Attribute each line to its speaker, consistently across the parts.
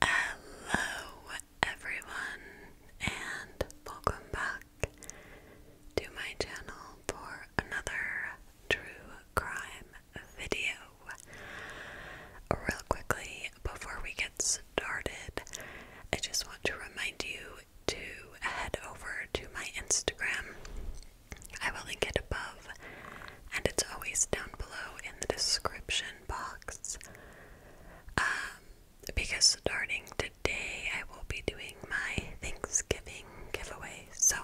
Speaker 1: Hello, everyone, and welcome back to my channel for another true crime video. Real quickly, before we get started, I just want to remind you to head over to my Instagram. I will link it above, and it's always down below in the description box. Um, because starting today, I will be doing my Thanksgiving giveaways. So,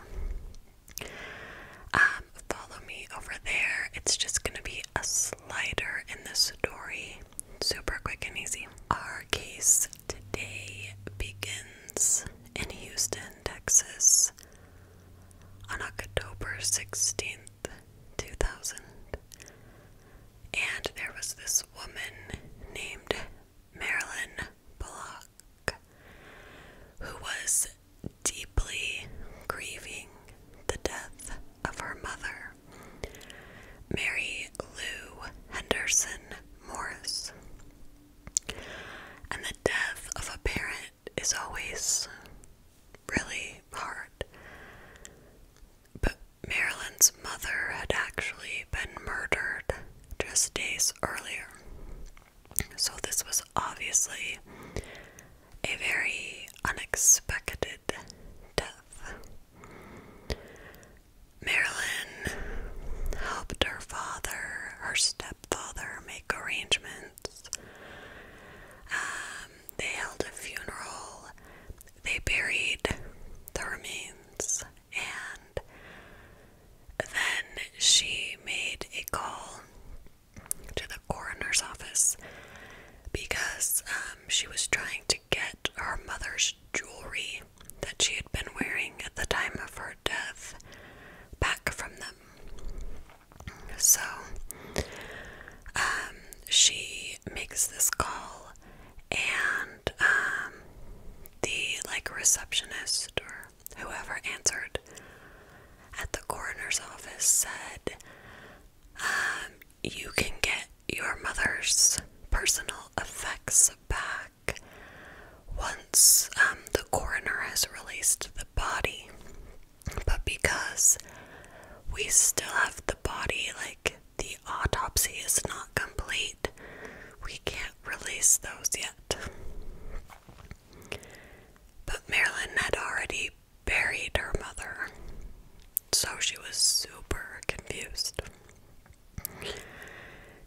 Speaker 1: um, follow me over there. It's just gonna be a slider in the story. Super quick and easy. Our case today begins in Houston, Texas on October 16th. 2000. And there was this woman named Marilyn Block, who was deeply grieving the death of her mother, Mary Lou Henderson Morris. And the death of a parent is always really hard. But Marilyn's mother had actually been murdered just days earlier. So this was obviously a very unexpected death. Marilyn helped her father, her stepfather, make arrangements um, they held a funeral. They buried the remains, and then she made a call to the coroner's office because um, she was trying to get her mother's jewelry that she had been wearing at the time of her death back from them. So um, she makes this call, and um, the like receptionist or whoever answered at the coroner's office said, um, "You can get your mother's personal effects back once the coroner has released the body." But because we still have the body, like the autopsy is not complete, we can't release those yet. But Marilyn had already buried her mother, so she was super confused.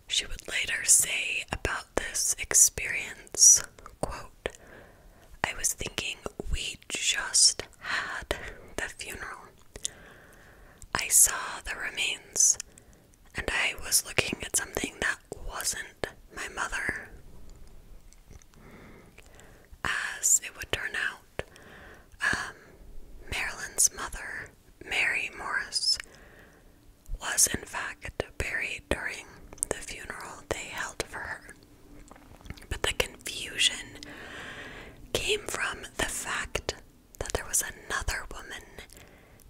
Speaker 1: She would later say about this experience, quote, I was thinking we just had the funeral. I saw the remains, and I was looking at something that wasn't my mother. As it would turn out, um, Marilyn's mother, Mary Morris, was in fact buried during the funeral they held for her. But the confusion came from the fact that there was another woman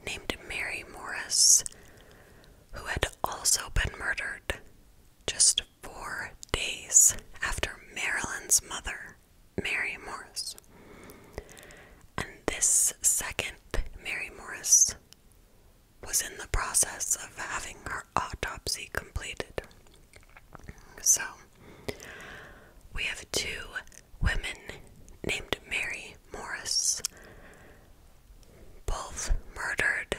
Speaker 1: named Mary Morris who had also been murdered just four days after Marilyn's mother, Mary Morris. And this second Mary Morris was in the process of having her autopsy completed. So, we have two women named Mary Morris, both murdered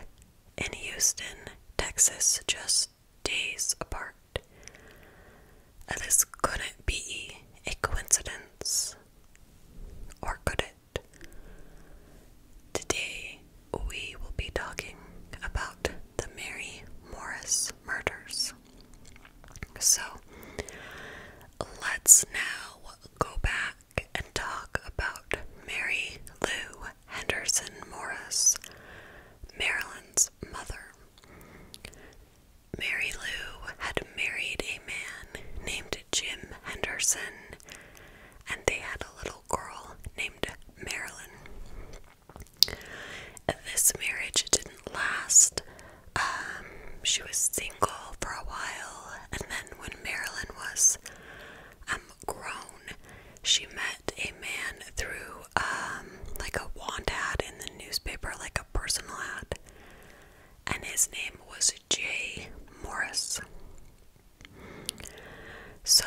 Speaker 1: in Houston, Texas, just days apart. this couldn't be a coincidence, or could it? Today we will be talking about the Mary Morris murders. So, let's now go back and talk about Mary Lou Henderson Morris, Marilyn's mother. Mary Lou had married a man named Jim Henderson, and they had a little girl named Marilyn. This marriage didn't last. Um, she was single for a while, and then when Marilyn was um, grown, she met a man through um, like a want ad in the newspaper, like a personal ad, and his name was Jay Morris. So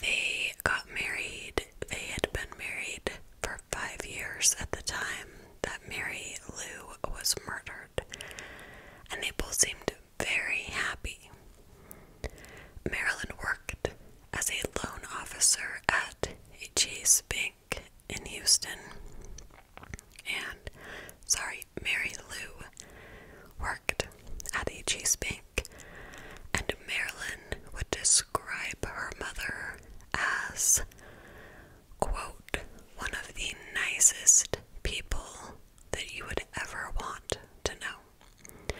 Speaker 1: they got married. They had been married for five years at the time that Mary Lou was murdered, and they both seemed very happy. Marilyn worked as a loan officer at a Chase Bank in Houston, and sorry, Mary Lou worked Addie Cheesepink, and Marilyn would describe her mother as, quote, one of the nicest people that you would ever want to know.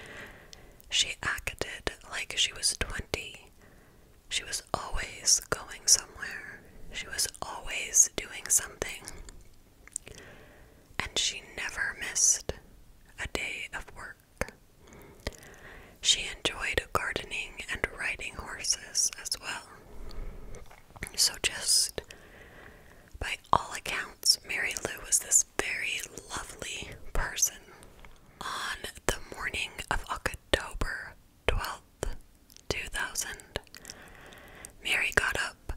Speaker 1: She acted like she was 20. She was always going somewhere. She was always doing something and she never missed a day of work. She enjoyed gardening and riding horses as well. So, just by all accounts, Mary Lou was this very lovely person. On the morning of October 12th, 2000, Mary got up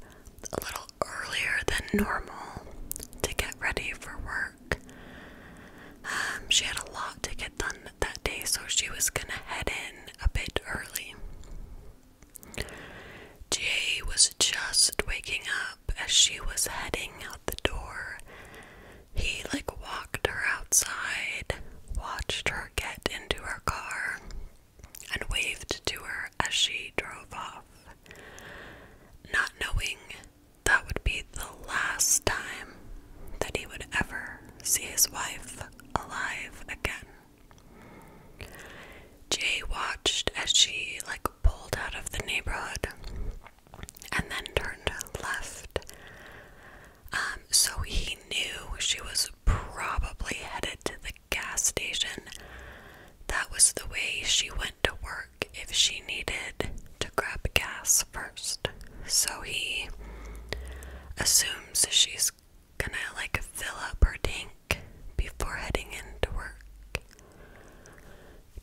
Speaker 1: a little earlier than normal to get ready for work. Um, she had a lot to get done that day, so she was gonna head in a bit early. Jay was just waking up as she was heading out the door. He like walked her outside, watched her get into her car, and waved to her as she drove off not knowing that would be the last time that he would ever see his wife alive again. Jay watched as she, like, pulled out of the neighborhood and then turned left. Um, so he knew she was probably headed to the gas station. That was the way she went to work if she needed to grab gas first. So he assumes she's gonna like fill up her tank before heading into work.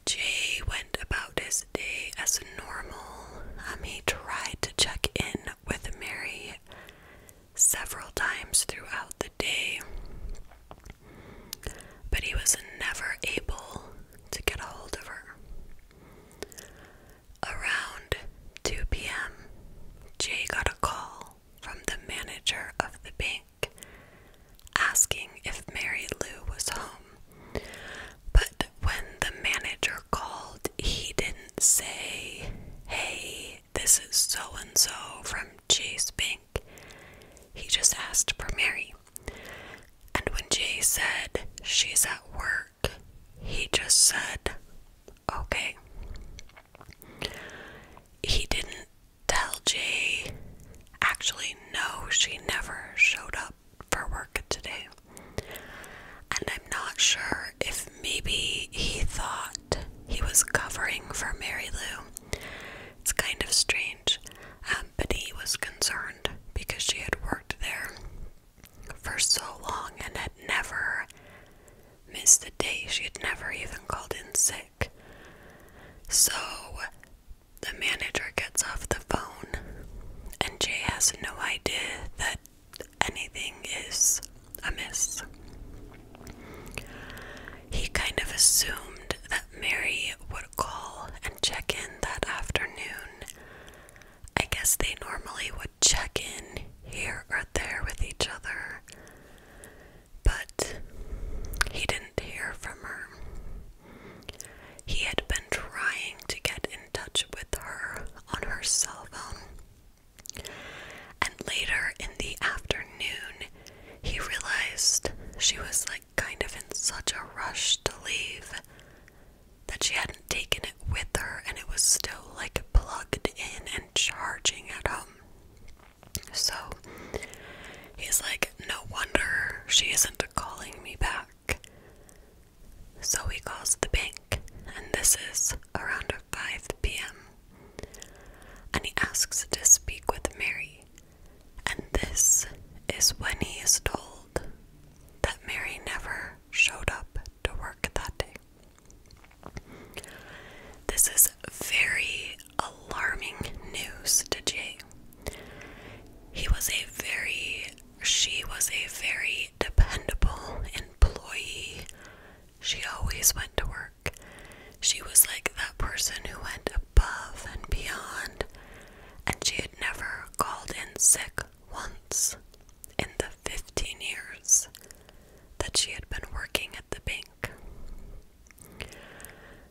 Speaker 1: Jay went about his day as normal. Um, he tried to check in with Mary several times throughout the day. But he was never able to get a hold of her. Around 2 p.m., Jay got a call from the manager of the bank asking if Mary Lou was home. But when the manager called, he didn't say, Hey, this is so and so from Chase Bank. He just asked for Mary. And when Jay said, She's at work, he just said, Okay. He didn't tell Jay, actually, no, she never showed up for work today. And I'm not sure if maybe he thought he was covering for Mary Lou. It's kind of strange change, um, was concerned because she had worked there for so long and had never missed a day. She had never even called in sick. So the manager gets off the phone, and Jay has no idea that anything is amiss. He kind of assumed that. Mary would call and check in that afternoon. I guess they normally would check in here or there with each other, but he didn't hear from her. He had been trying to get in touch with her on her cell phone. And later in the afternoon, he realized she was like kind of in such a rush to leave that she hadn't taken it with her and it was still like plugged in and charging at home. So he's like, No wonder she isn't calling me back. So he calls the bank, and this is around 5 p.m. And he asks to speak with Mary. And this is when he is told that Mary never showed up to work that day. This is very alarming news to Jay. He was a very, she was a very dependable employee. She always went to work. She was like that person who went above and beyond, and she had never called in sick once in the 15 years that she had been working at the bank.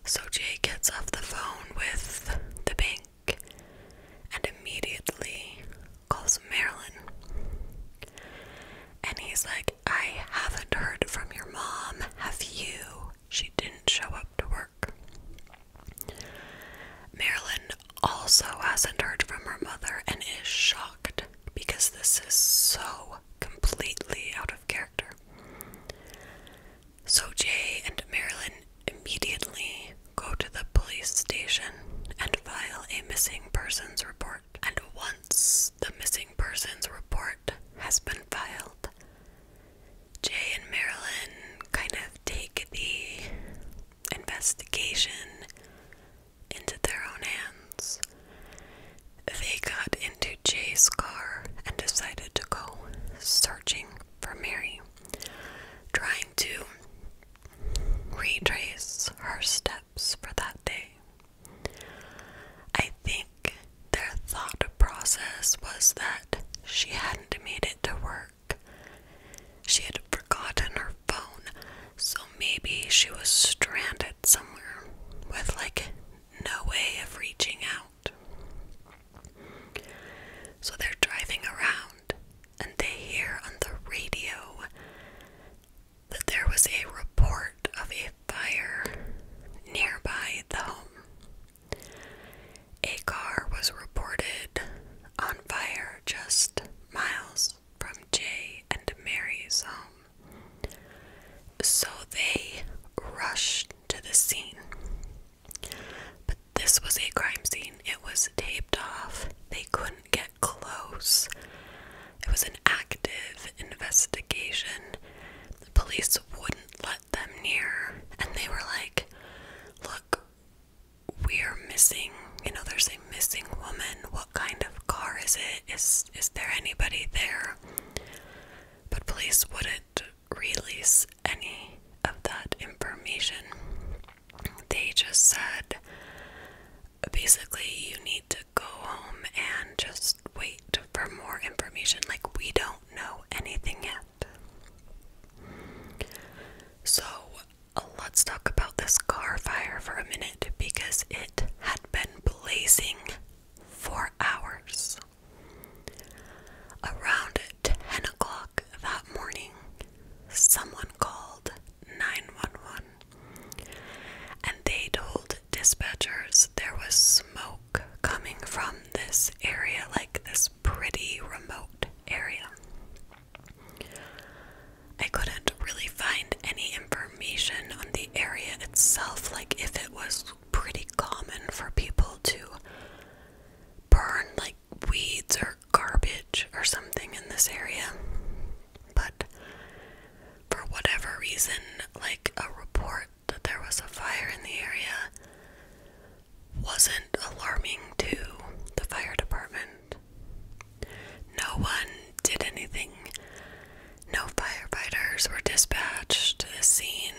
Speaker 1: So Jay gets off the phone with the bank and immediately calls Marilyn. And he's like, I haven't heard from your mom. Have you? she didn't show up to work. Marilyn also hasn't heard from her mother and is shocked because this is so completely out of character. So Jay and Marilyn immediately go to the police station and file a missing persons report. And once the missing persons report has been filed, Jay and Marilyn kind of take the investigation into their own hands. They got into Jay's car and decided to go searching for Mary, trying to retrace her steps for that day. I think their thought process was that she hadn't made it to work. She had forgotten her phone, so maybe she was stranded somewhere with like no way of reaching out. So they're driving around and they hear on the radio that there was a report of a fire nearby the home. A car was reported on fire just miles from Jay and Mary's home, so they rushed to the scene. But this was a crime scene, it was taped off, they couldn't get close. It was an active investigation. The police wouldn't let them near and they were like, Look, we're missing, you know, there's a missing woman. What kind of car is it? Is is there anybody there? But police wouldn't release any of that information. They just said basically you need to go home and just wait for more information. Like, we don't know anything yet. So, let's talk about this car fire for a minute because it had been blazing for hours. Around 10 o'clock that morning, someone called 911 and they told dispatchers there was smoke smoke coming from this area, like this pretty remote area. I couldn't really find any information on the area itself, like if it was pretty common for people to burn like weeds or garbage or something in this area. But for whatever reason, like a report that there was a fire in the area wasn't alarming to the fire department. No one did anything. No firefighters were dispatched to the scene.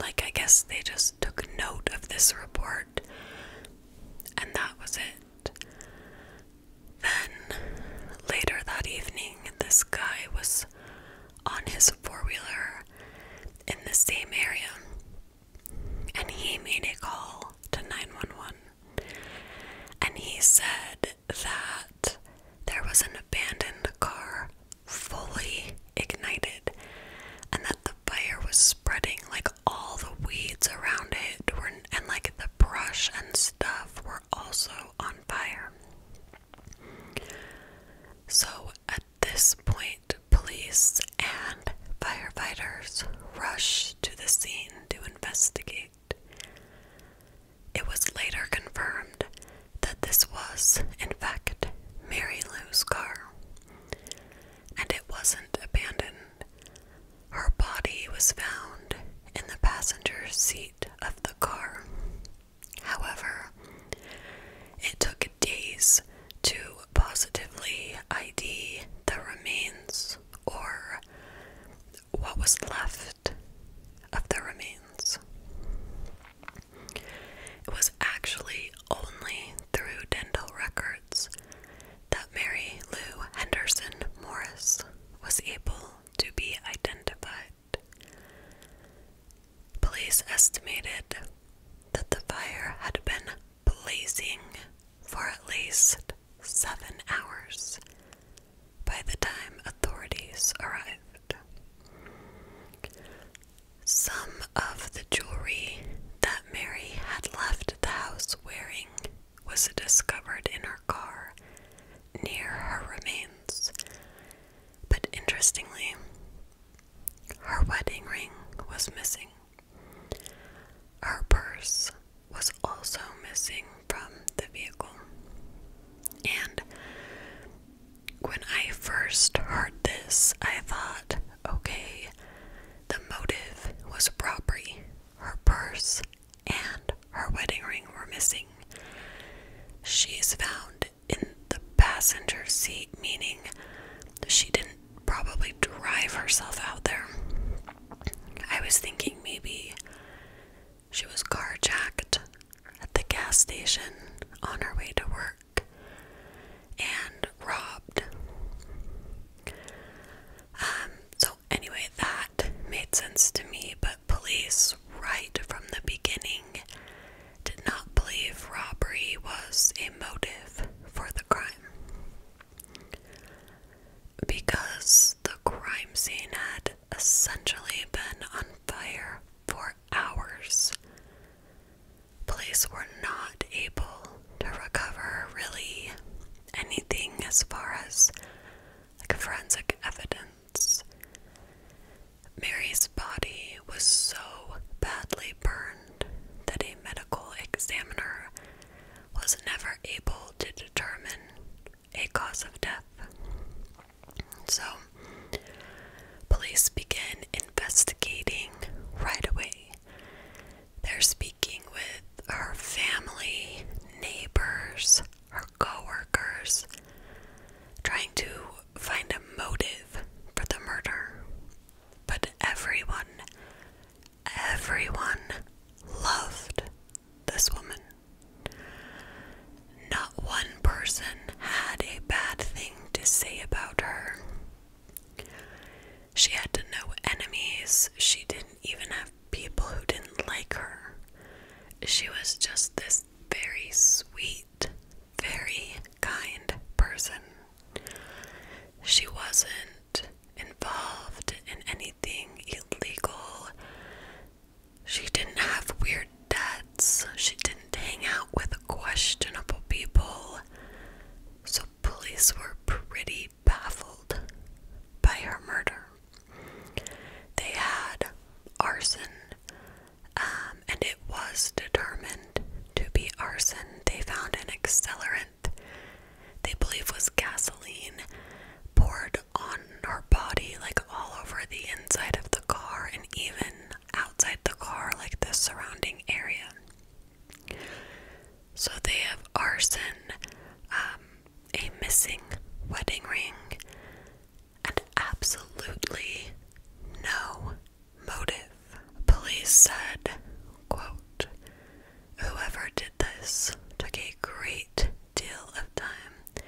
Speaker 1: Like, I guess they just took note of this report, and that was it. Then, later that evening, this guy was on his four wheeler in the same area, and he made a call to 911. And he said that there was an abandoned car fully ignited, and that the fire was spreading like all the weeds around it were, and like the brush and stuff were also on fire. So at this point, police and firefighters rush to the scene to investigate. It was later confirmed that this was, in fact, Mary Lou's car, and it wasn't abandoned. Her body was found in the passenger seat of the car. However, it took days to positively ID the remains or what was left of the remains. It was actually only through dental records that Mary Lou Henderson Morris was able to be identified. Police estimated that the fire had been blazing for at least seven hours by the time authorities arrived. Some of the jewelry that Mary had left the house wearing was discovered in her car near her remains, but interestingly, her wedding ring was missing. Her purse was also missing from the vehicle. And when I first heard this, I thought, okay, the motive was robbery. Her purse and her wedding ring were missing. She's found in the passenger seat, meaning she didn't probably drive herself out there. I was thinking maybe she was carjacked at the gas station on her way to work and robbed. Um, so, anyway, that made sense to me, but police, right from the beginning, did not believe robbery was a motive for the crime. Because the crime scene had essentially been on fire for hours, police were not able to recover really anything as far as like forensic evidence. Mary's body was so badly burned that a medical examiner was never able to determine a cause of death. So, police begin investigating right away. They're speaking with her family, neighbors, her coworkers trying to find a motive for the murder. But everyone, everyone loved this woman. Not one person had a bad thing to say about her. She had no enemies. She didn't even have people who didn't like her. She was just this very sweet, very kind person. She wasn't involved in anything illegal. She didn't have weird debts. She didn't hang out with questionable people. So, police were pretty baffled by her murder. They had arson, um, and it was determined to be arson. They found an accelerant they believe was gasoline poured on her body, like all over the inside of the car and even outside the car, like the surrounding area. So they have arson, um, a missing wedding ring, and absolutely no motive. Police said, quote, Whoever did this took a great deal of time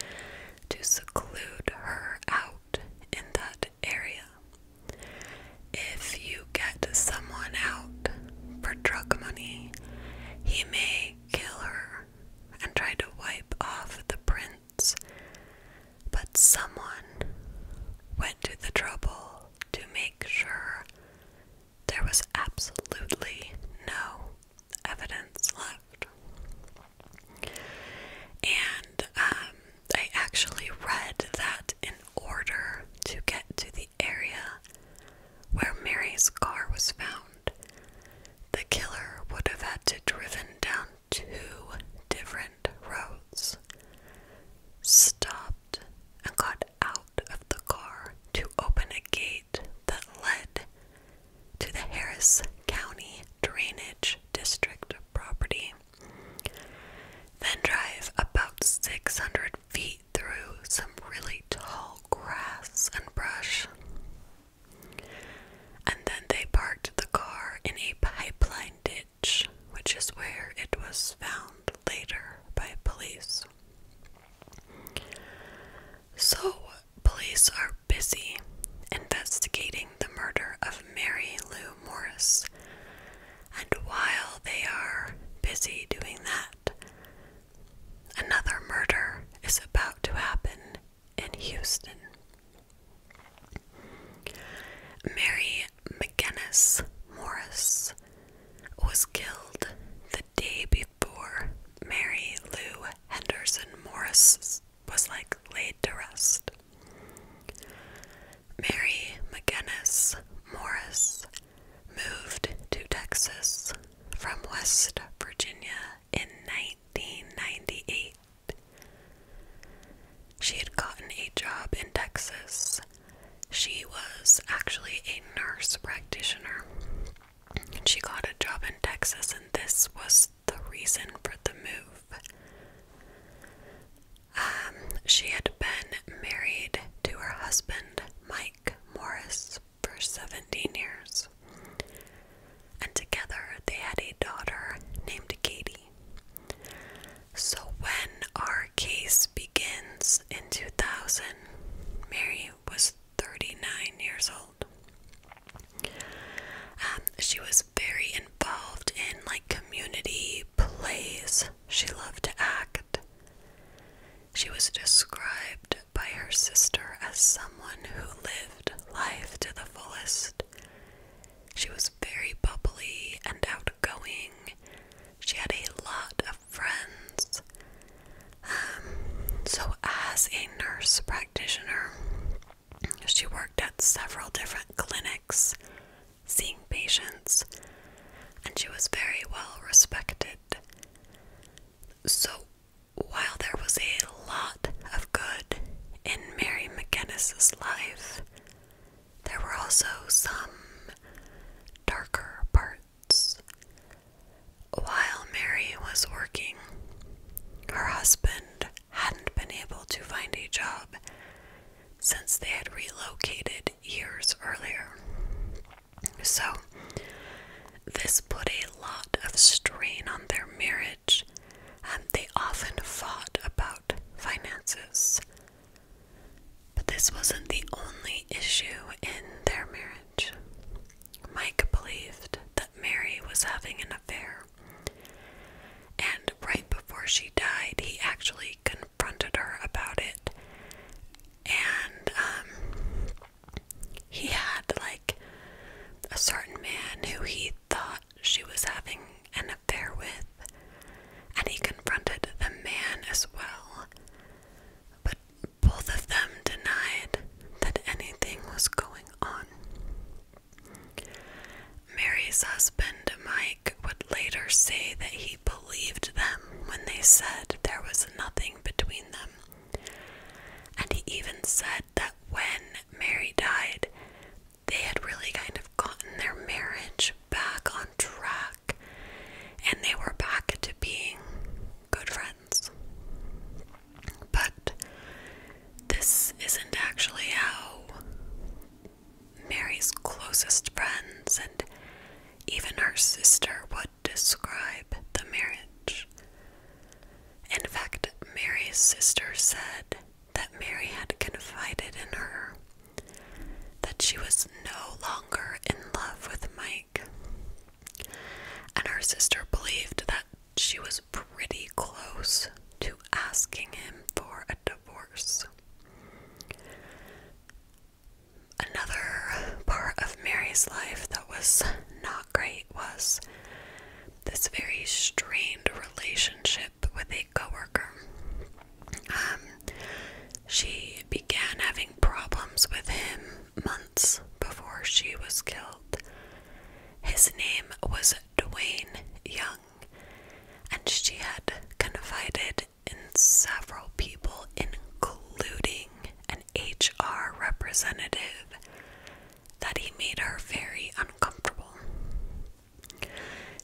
Speaker 1: to seclude her out in that area. If you get someone out for drug money, he may kill her and try to wipe off the prints but someone went to the trouble to make sure there was absolutely no evidence left. And um, I actually read that in order to get to the area where Mary's car was found, the killer would have had to driven down two different roads, stopped, and got out of the car to open a gate that led to the Harris County Drainage District property. Then drive about 600 feet through some really tall grass and brush. And then they parked the car in a pipeline ditch which is where it was found later by police. So, police are busy investigating the murder of Mary Lou Morris, and while they are busy doing that, another murder is about to happen in Houston. Mary McGinnis Morris was killed the day before Mary Lou Henderson Morris was like laid to rest. Mary McGinnis Morris moved to Texas from West Virginia in 1998 she had gotten a job in Texas. She was actually a nurse practitioner. she got a job in Texas, and this was the reason for the move. Um, she had been married to her husband, Mike Morris, for 17 years. And together they had a daughter named Katie. So, when our case begins in 2000, Mary was 39 years old. Um, she was very involved in like community plays. She loved to act. She was described by her sister as someone who lived life to the fullest she was very bubbly and outgoing. She had a lot of friends. Um, so, as a nurse practitioner, she worked at several different clinics seeing patients, and she was very well respected. So, while there was a lot of good in Mary McGinnis's life, there were also some darker parts. While Mary was working, her husband hadn't been able to find a job since they had relocated years earlier. So, this put a lot of strain on their marriage marriage, um, they often fought about finances. But this wasn't the only issue in their marriage. Mike believed that Mary was having an affair, and right before she died, he actually confronted her about it. And um, he had like a certain man who he thought she was having an affair with, and he confronted the man as well. But both of them denied that anything was going on. Mary's husband, Mike, would later say that he believed them when they said there was nothing between them. And he even said that when Mary died, they had really kind of gotten their marriage back on track and they were back to being good friends. But this isn't actually how Mary's closest friends and even her sister would describe the marriage. In fact, Mary's sister said that Mary had confided in her that she was no longer in love with Mike. And her sister believed that she was pretty close to asking him for a divorce. Another part of Mary's life that was not great was this very strained relationship with a coworker. Um, she began having problems with him months before she was killed. His name was Dwayne Young, and she had confided in several people, including an HR representative, that he made her very uncomfortable.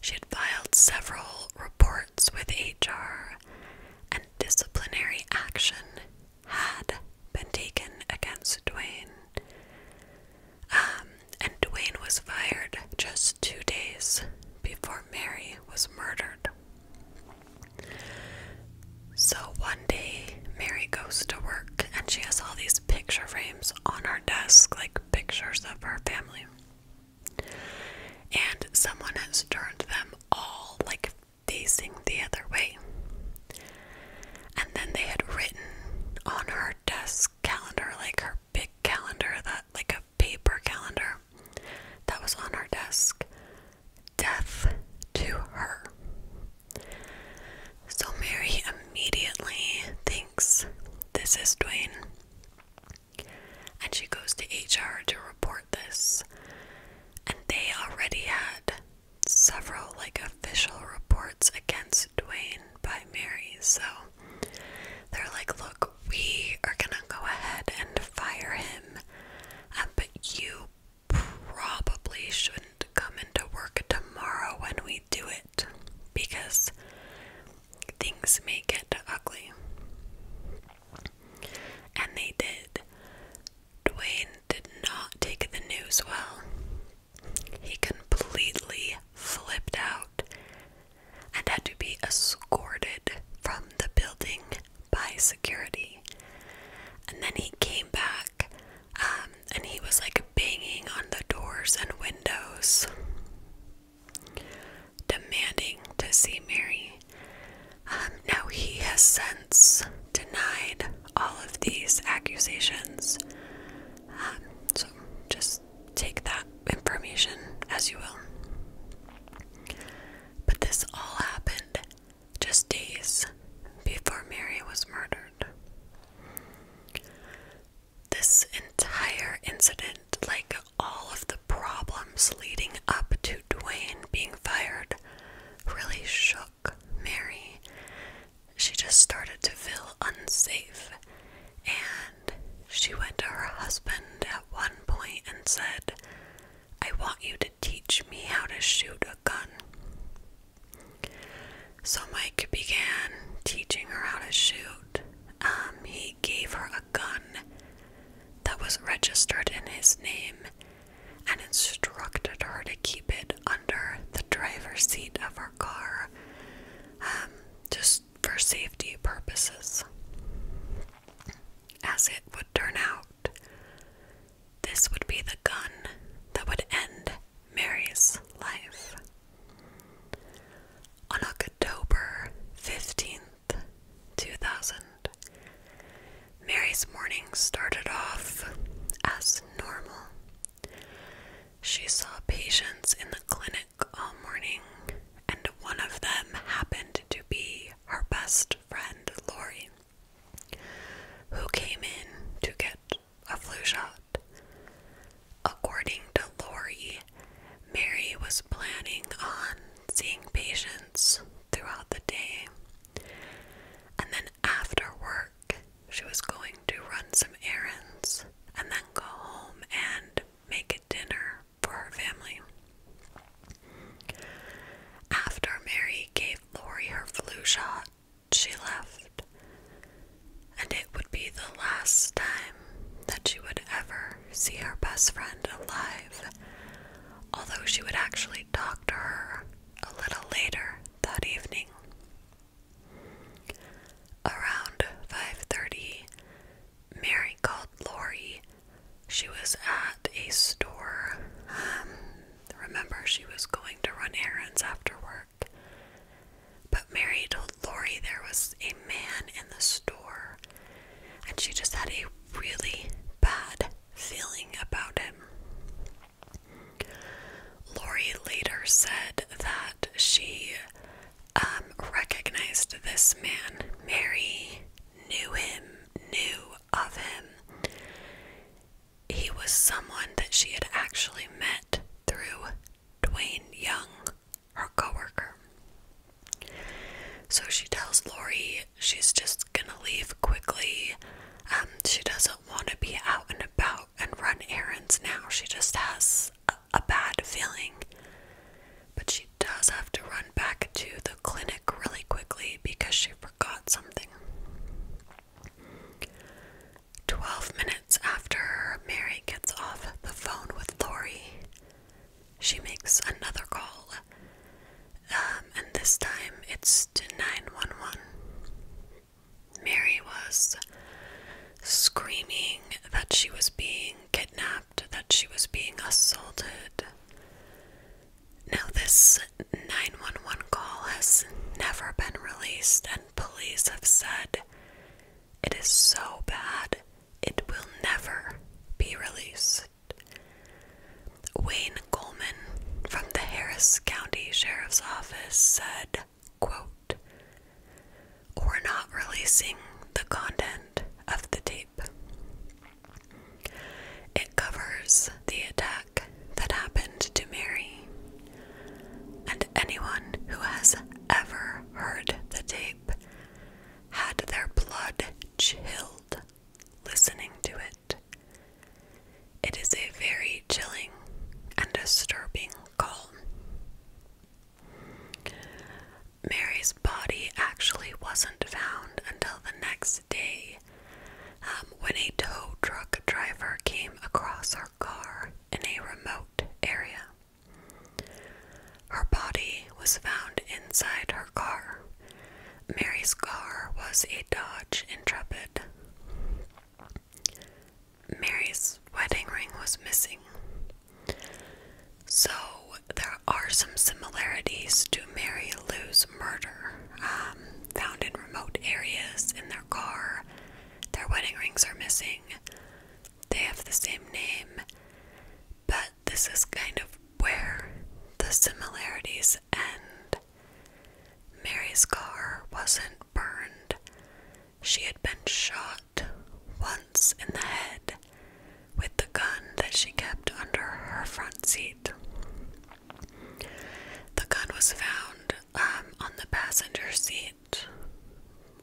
Speaker 1: She had filed several reports with HR, and disciplinary action had been taken against Dwayne. Um, and Dwayne was fired just two days before Mary was murdered. So one day, Mary goes to work and she has all these picture frames on her desk, like pictures of her family. And someone has turned them all like facing the other way. And then they had written on her desk calendar, like her big calendar, that like a paper calendar that was on her desk, death to her. So Mary immediately, thinking this is Dwayne. And she goes to HR to report this. And they already had several like official reports against Dwayne by Mary. So they're like, look, we are gonna go ahead and fire him, uh, but you probably shouldn't come into work tomorrow when we do it because things may get ugly. And they did. Dwayne did not take the news well. He completely flipped out and had to be escorted from the building by security. And then he came back um, and he was like banging on the doors and windows demanding to see Mary. Um, now, he has since denied all of these accusations. Um, so, just take that information as you will. But this all happened just days before Mary was murdered this entire incident, like all of the problems leading up to Dwayne being fired, really shook Mary. She just started to feel unsafe, and she went to her husband at one point and said, I want you to teach me how to shoot a gun. So Mike began teaching her how to shoot. Um, he gave her a gun that was registered in his name and instructed her to keep it under the driver's seat of her car um, just for safety purposes. As it would turn out, this would be the gun that would end Mary's life. On October 15th, 2000, Mary's morning started off as normal. She saw patients in the clinic all morning, and one of them happened to be her best friend, Lori, who came in to get a flu shot. According to Lori, Mary was planning on seeing patients throughout the day. And then after work, she was going to run some errands and then go home and make a dinner for her family. After Mary gave Lori her flu shot, she left and it would be the last time that she would ever see her best friend alive, although she would actually talk to her a little later that evening. Around 5:30, Mary called Lori. She was at a store. Um, remember, she was going to run errands after work. But Mary told Lori there was a man in the store, and she just had a really bad feeling about him. Lori later said that she um, recognized this man. Mary knew him, knew of him. He was someone that she had actually met through Dwayne Young, her coworker. So she tells Lori she's just gonna leave quickly. Um, she doesn't want to be out and about and run errands now. She just has a, bad feeling. But she does have to run back to the clinic really quickly because she forgot something. 12 minutes after Mary gets off the phone with Lori, she makes another call. Um, and this time it's to 911. Mary was screaming that she was being kidnapped, that she was being assaulted. Now, this 911 call has never been released, and police have said it is so bad it will never be released. Wayne Coleman from the Harris County Sheriff's Office said, quote, We're not releasing the content of the tape. It covers the attack that happened to Mary, and anyone who has ever heard the tape had their blood chilled listening to it. It is a very chilling and disturbing calm. Mary's body actually wasn't found until the next day um, when a tow truck driver came across her car in a remote area. Her body was found inside her car. Mary's car was a Dodge Intrepid. Mary's wedding ring was missing. So there are some similarities to Mary Lou's murder. Um, found in remote areas in their car, their wedding rings are missing they have the same name, but this is kind of where the similarities end. Mary's car wasn't burned, she had been shot once in the head with the gun that she kept under her front seat. The gun was found um, on the passenger seat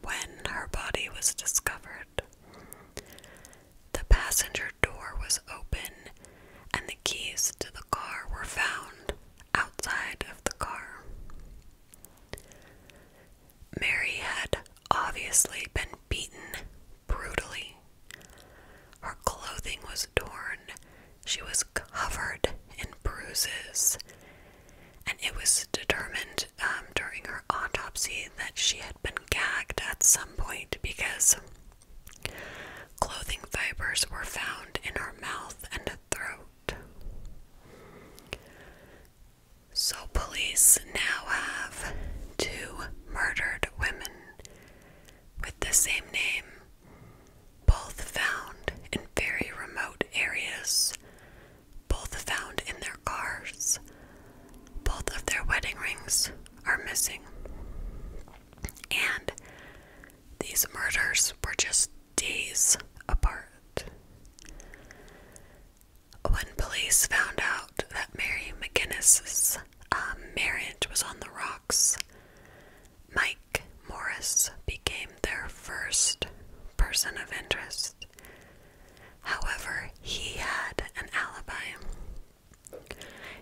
Speaker 1: when her body was discovered. The passenger door was open and the keys to the car were found outside of the car. Mary had obviously been beaten brutally. Her clothing was torn, she was covered in bruises, and it was determined um, during her autopsy that she had been gagged at some point because clothing fibers were found in her mouth and throat. So, police now have two murdered women with the same name, both found in very remote areas both found in their cars. Both of their wedding rings are missing. And these murders were just days apart. When police found out that Mary McGinnis's um, marriage was on the rocks, Mike Morris became their first person of interest. However, he had an alibi.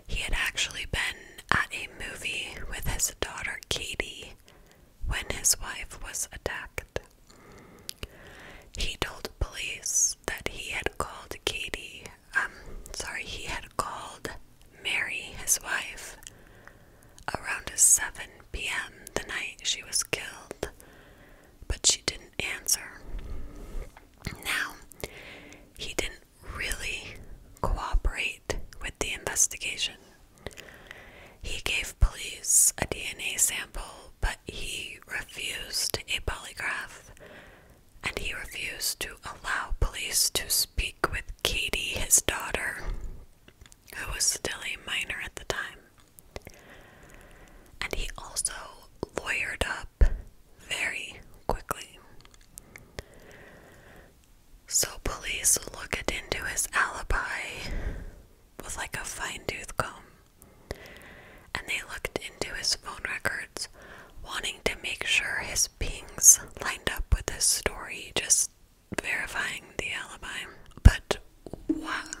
Speaker 1: He had actually been at a movie with his daughter Katie when his wife was attacked. He told police that he had called Katie, um, sorry, he had called Mary, his wife, around 7 p.m. the night she was killed but she didn't answer. Now, he didn't really cooperate with the investigation. He gave police a DNA sample, but he refused a polygraph and he refused to allow police to speak with Katie, his daughter, who was still a minor at the time. And he also lawyered up very quickly. So police looked into his alibi with like a fine tooth comb. And they looked into his phone records, wanting to make sure his pings lined up with his story, just verifying the alibi. But what?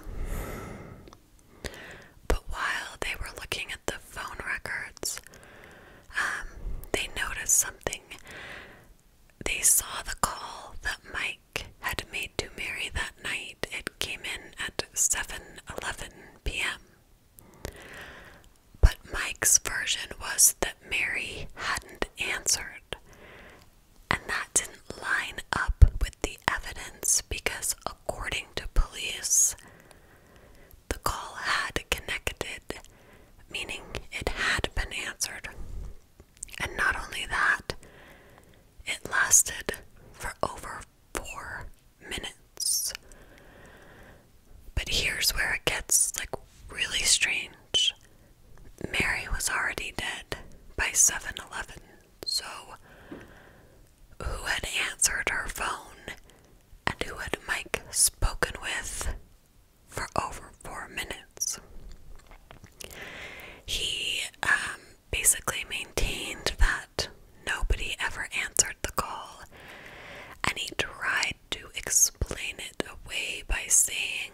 Speaker 1: But while they were looking at the phone records, um, they noticed something. They saw the call that Mike had made to Mary that night. It came in at 7:11 p.m. But Mike's version was that Mary hadn't answered and that didn't line up with the evidence because, according to police, the call had connected, meaning it had been answered. And not only that, it lasted for over four minutes. But here's where it gets like really strange. Mary was already dead by 7 11. So, who had answered her phone and who had Mike spoken with for over four minutes? He um, basically maintained that nobody ever answered the call, and he tried to explain it away by saying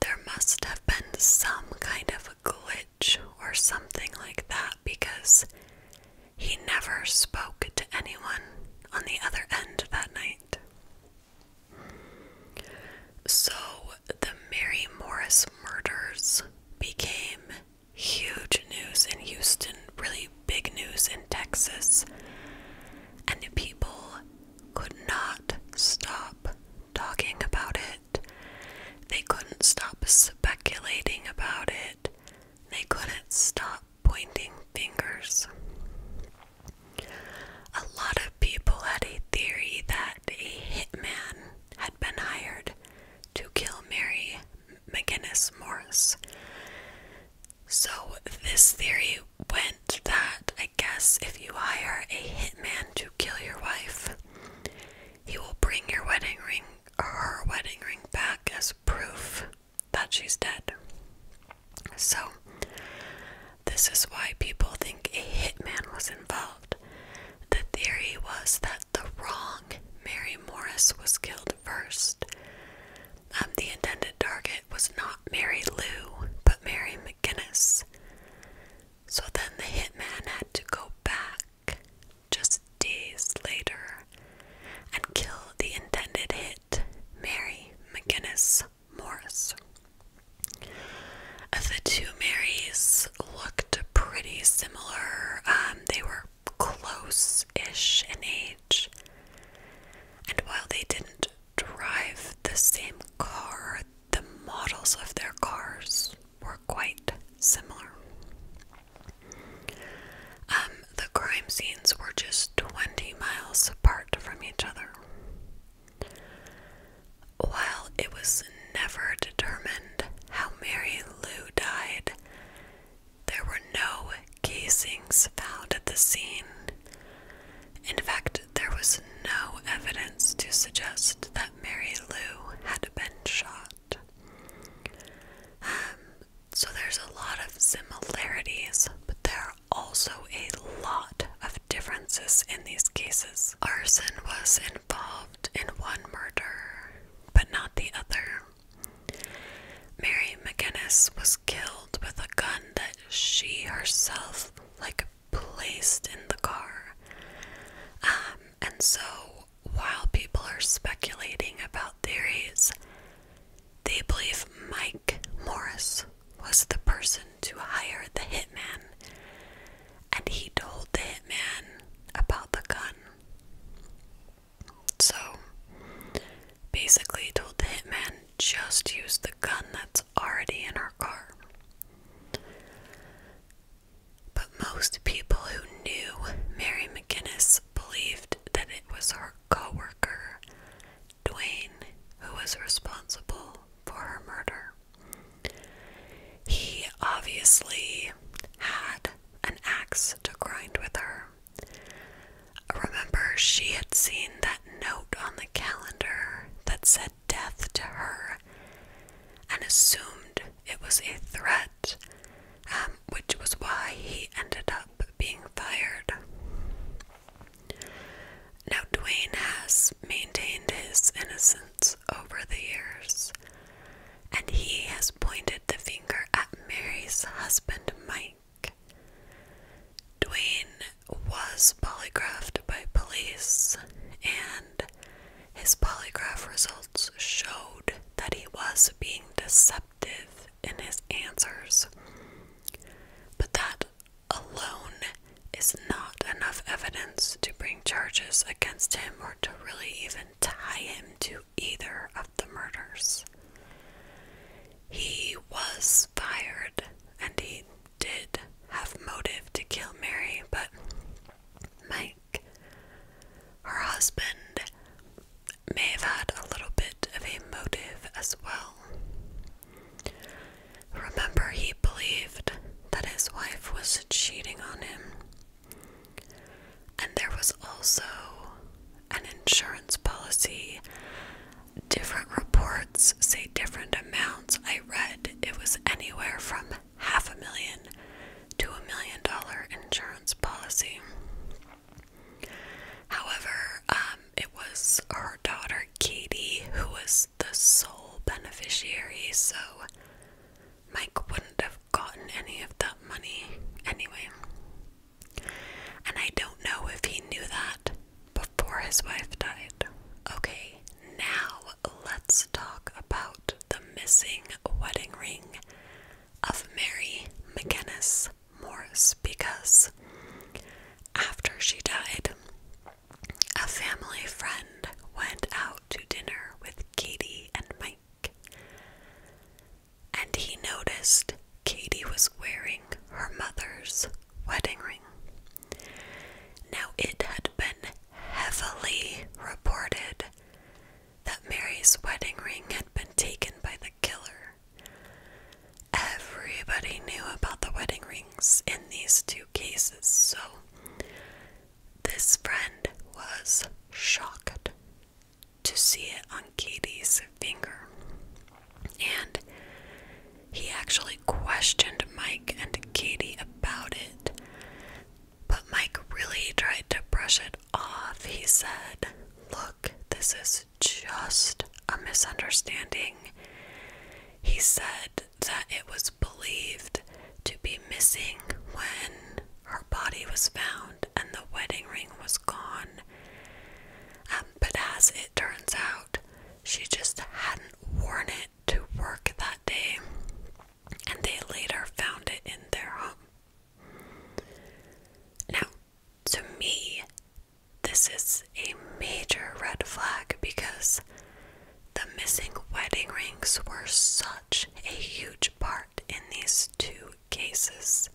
Speaker 1: there must have been some kind of glitch or something like that because he never spoke to anyone on the other end that night. So the Mary Morris murders became huge news in Houston, really big news in Texas, and people could not stop talking about it. They couldn't stop speculating about it. They couldn't stop pointing fingers. A lot of people had a theory that a hitman had been hired to kill Mary McGinnis Morris. So, this theory went that I guess if you hire a hitman to kill your wife, he will bring your wedding ring or her wedding ring back as proof that she's dead. So, this is why people think a hitman was involved. The theory was that the wrong Mary Morris was killed first. Um, the intended target was not Mary Lou, but Mary McGinnis. So then the hitman had to go back just days later and kill the intended hit, Mary McGinnis Morris. The two Marys looked pretty similar. Um, they were close ish in age. And while they didn't drive the same car, the models of their cars were quite similar. Um, the crime scenes were just 20 miles apart from each other. While it was never determined how Mary Lou died, there were no casings found at the scene. In fact, there was no evidence to suggest that Mary Lou had been shot. Um, so there's a lot of similarities, but there are also a lot of differences in these cases. Arson was involved in one murder, but not the other. Mary McGinnis was killed with a gun that she herself, like, placed in the car. Um, and so, while people are speculating about theories, they believe Mike Morris was the person to hire the hitman, and he told the hitman about the gun. So, basically, told the hitman just use the gun that's already in our car. But most people who knew Mary McGinnis believed that it was her coworker, Dwayne, who was responsible for her murder. He obviously had an axe to grind with her. Remember, she had seen that note on the calendar that said death to her and assumed it was a threat, um, which was why he ended up being fired. Now, Dwayne has maintained his innocence over the years, and he has pointed the finger at Mary's husband, Mike. Dwayne was polygraphed by police, and his polygraph results showed that he was being deceptive in his answers. But that alone is not enough evidence to bring charges against him or to really even tie him to either of the murders. He was fired and he did have motive to kill Mary, but might her husband may have had a little bit of a motive as well. Remember, he believed that his wife was cheating on him. And there was also an insurance policy. Different reports say different amounts. I read it was anywhere from half a million to a million dollar insurance policy. However, um, it was her daughter Katie who was the sole beneficiary, so Mike wouldn't have gotten any of that money anyway. And I don't know if he knew that before his wife died. Okay, now let's talk about the missing wedding ring of Mary McGinnis Morse, because after she died, a family friend went out to dinner with Katie and Mike, and he noticed Katie was wearing her mother's wedding ring. Now, it had been heavily reported that Mary's wedding ring had been taken by the killer. Everybody knew about the wedding rings in these two cases, so this friend was shocked to see it on Katie's finger. And he actually questioned Mike and Katie about it. But Mike really tried to brush it off. He said, Look, this is just a misunderstanding. He said that it was believed to be missing when her body was found and the wedding ring was gone. Um, but as it turns out, she just hadn't worn it to work that day and they later found it in their home. Now, to me, this is a major red flag because the missing wedding rings were such a huge part in these two cases.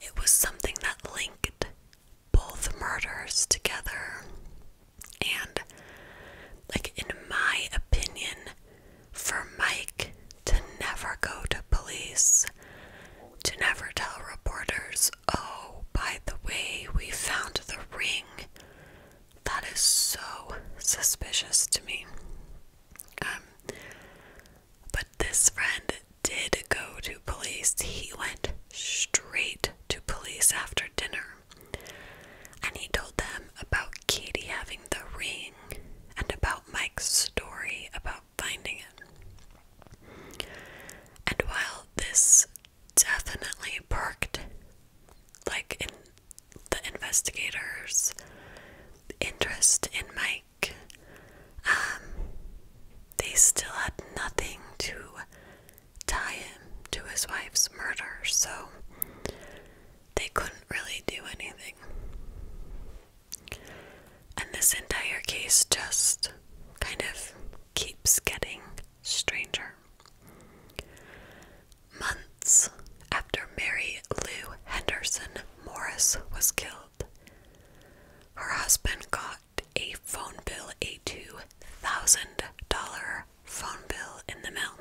Speaker 1: It was something that linked both murders together. And, like, in my opinion, for Mike to never go to police, to never tell reporters, oh, by the way, we found the ring. That is so suspicious to me. Um, but this friend did go to police. He went straight to police after dinner. And he told them about Katie having the ring and about Mike's story about finding it. And while this definitely perked, like the investigators' interest in Mike, um, they still had nothing to tie him to his wife's murder. So they couldn't really do anything. And this entire case just kind of keeps getting stranger. Months after Mary Lou Henderson Morris was killed, her husband got a phone bill, a $2,000 phone bill in the mail.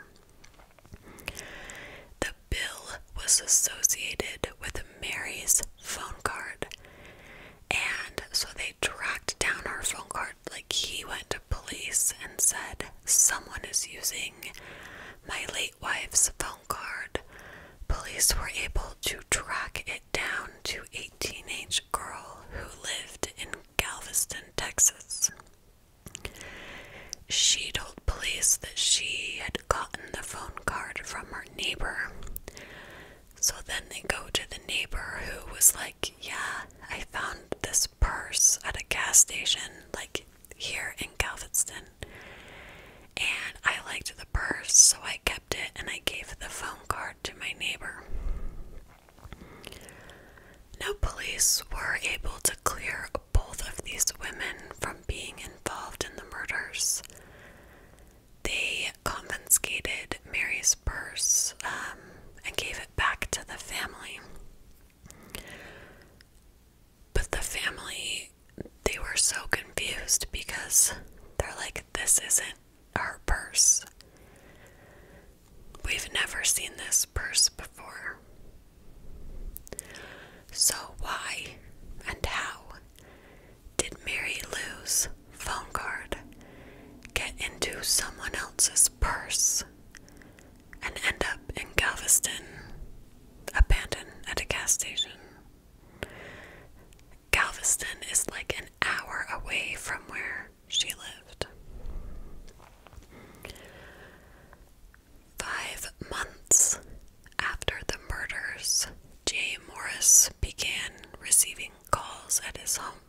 Speaker 1: The bill was associated with Mary's phone card, and so they tracked down her phone card. Like, he went to police and said, Someone is using my late wife's phone card. Police were able to track it down to a teenage girl who lived in Galveston, Texas. She told police that she had gotten the phone card from her neighbor. So then they go to the neighbor who was like, Yeah, I found this purse at a gas station, like here in Galveston. And I liked the purse, so I kept it and I gave the phone card to my neighbor. Now, police were able to clear both of these women from being involved in the murders. They confiscated Mary's purse um, and gave it back to the family. But the family, they were so confused because they're like, this isn't our purse. We've never seen this purse before. So, why and how did Mary Lou's phone card get into someone else's purse and end up in Galveston, abandoned at a gas station? Galveston is like an hour away from where she lived. Five months after the murders, Jay Morris began receiving calls at his home.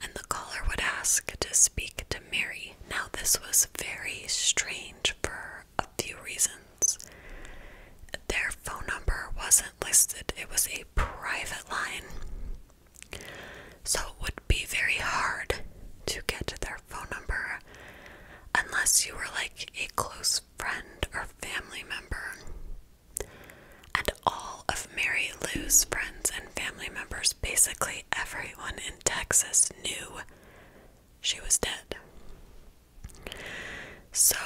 Speaker 1: And the caller would ask to speak to Mary. Now, this was very strange for a few reasons. Their phone number wasn't listed, it was a private line. So it would be very hard to get their phone number unless you were like a close friend or family member. And all of Mary Lou's friends and family members, basically everyone in Texas, knew she was dead. So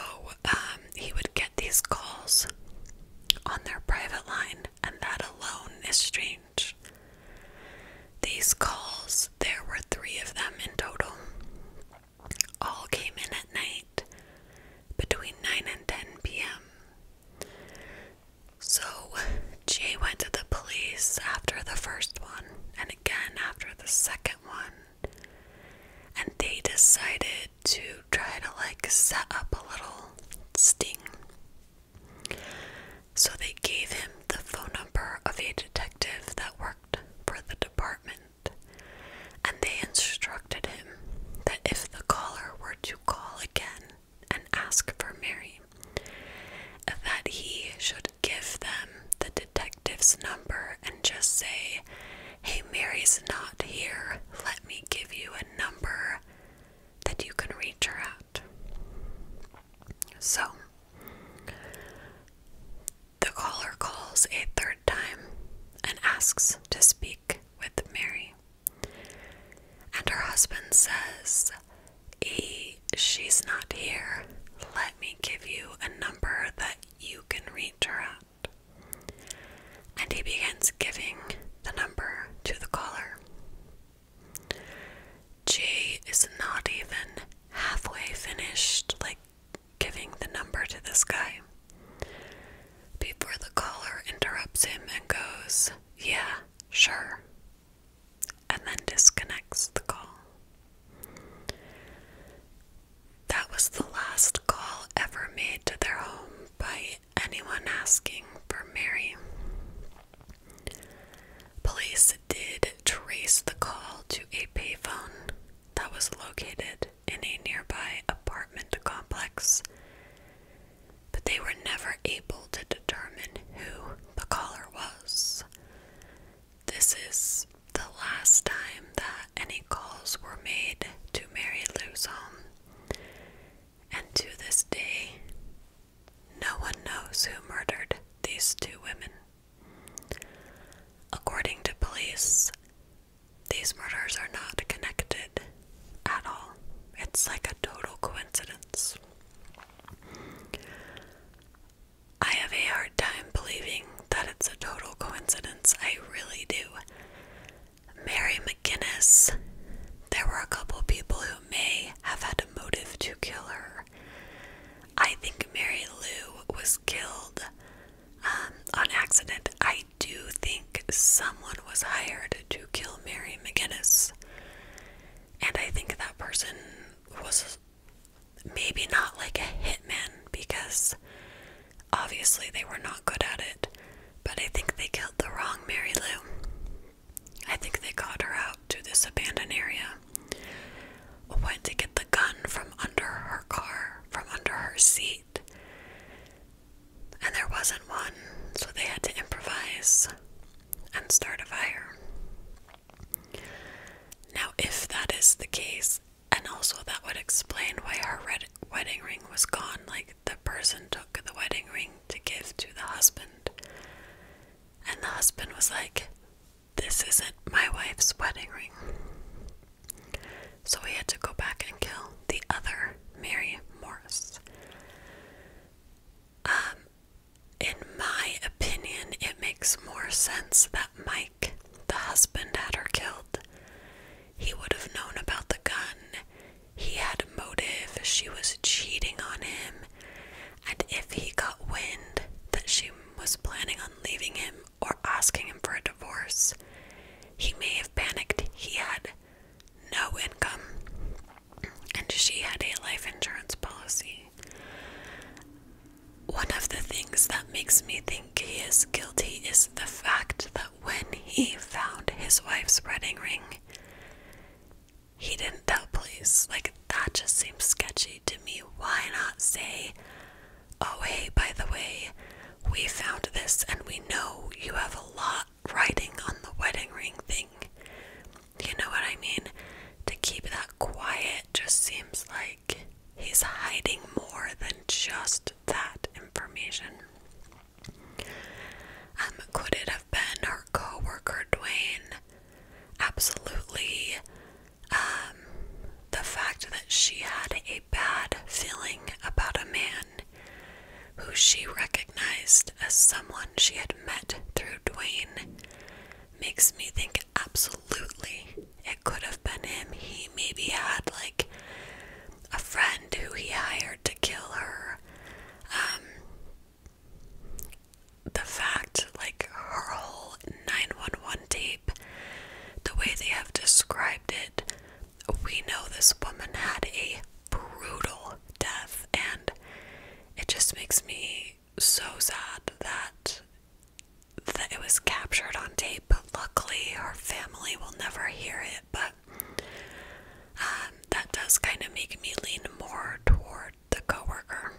Speaker 1: um, he would get these calls on their private line and that alone is strange. These calls, there were three of them in total, all came in at night between 9 and 10 p.m. So Jay went to the police after the first one and again after the second one, and they decided to try to like set up a little sting. So they gave him the phone number of a detective that worked for the department, and they instructed him that if the caller were to call again and ask for Mary, that he should give them the detective's number and just say, Hey, Mary's not here. Let me give you a number that you can reach her at. So the caller calls a third time and asks to speak with Mary. And her husband says, E, she's not here. Let me give you a number that you can reach her at. And he begins giving the number to the caller. J is not even halfway finished, like giving the number to this guy. Before the caller interrupts him and goes, Yeah, sure, and then disconnects the call. That was the last call ever made to their home by anyone asking for Mary. Police did trace the call to a payphone that was located in a nearby apartment complex, but they were never able to determine who the caller was. This is the last time that any calls were made to Mary Lou's home, and to this day, no one knows who murdered these two women. According to police, these murders are not connected at all. It's like a total coincidence. I have a hard time believing that it's a total coincidence. I really do. Mary McGinnis there were a couple people who may have had a motive to kill her. I think Mary Lou was killed um, on accident. I do think someone was hired to kill Mary McGinnis. And I think that person was maybe not like a hitman because obviously they were not good at it, but I think they killed the wrong Mary Lou. I think they got her out to this abandoned area. Went to get the gun from under her car, from under her seat. And there wasn't one, so they had to improvise and start a fire. Now, if that is the case, and also that would explain why her red wedding ring was gone, like the person took the wedding ring to give to the husband. And the husband was like, This isn't my wife's wedding ring. So he had to go back and kill the other Mary Morris. Um, in my opinion, it makes more sense that Mike, the husband, had her killed. He would have known about the gun. He had a motive. She was cheating on him and if he got wind that she was planning on leaving him or asking him for a divorce, he may have panicked. He had no income, and she had a life insurance policy. One of the things that makes me think he is guilty is the fact that when he found his wife's wedding ring, he didn't tell police. Like, that just seems sketchy to me. Why not say, oh, hey, by the way, we found this and we know you have a lot writing on the wedding ring thing? You know what I mean? To keep that quiet just seems like he's hiding more than just that information. Um, quoted been her co Dwayne. Absolutely. Um, the fact that she had a bad feeling about a man who she recognized as someone she had met through Dwayne makes me think absolutely it could have been him. He maybe had like a friend who he hired to kill her. Um, the fact, like her whole 911 tape, the way they have described it, we know this woman had a brutal death, and it just makes me so sad that that it was captured on tape. But luckily, her family will never hear it. But um, that does kind of make me lean more toward the coworker.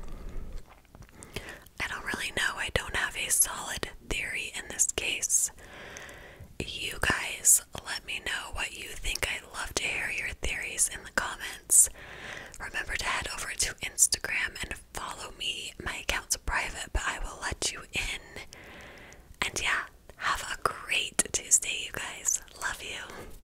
Speaker 1: I don't really know. I don't have a solid theory in this case. You guys, let me know what you think. I'd love to hear your theories in the comments. Remember to head over to Instagram and follow me. My account's private, but I will let you in. And yeah, have a great Tuesday, you guys. Love you.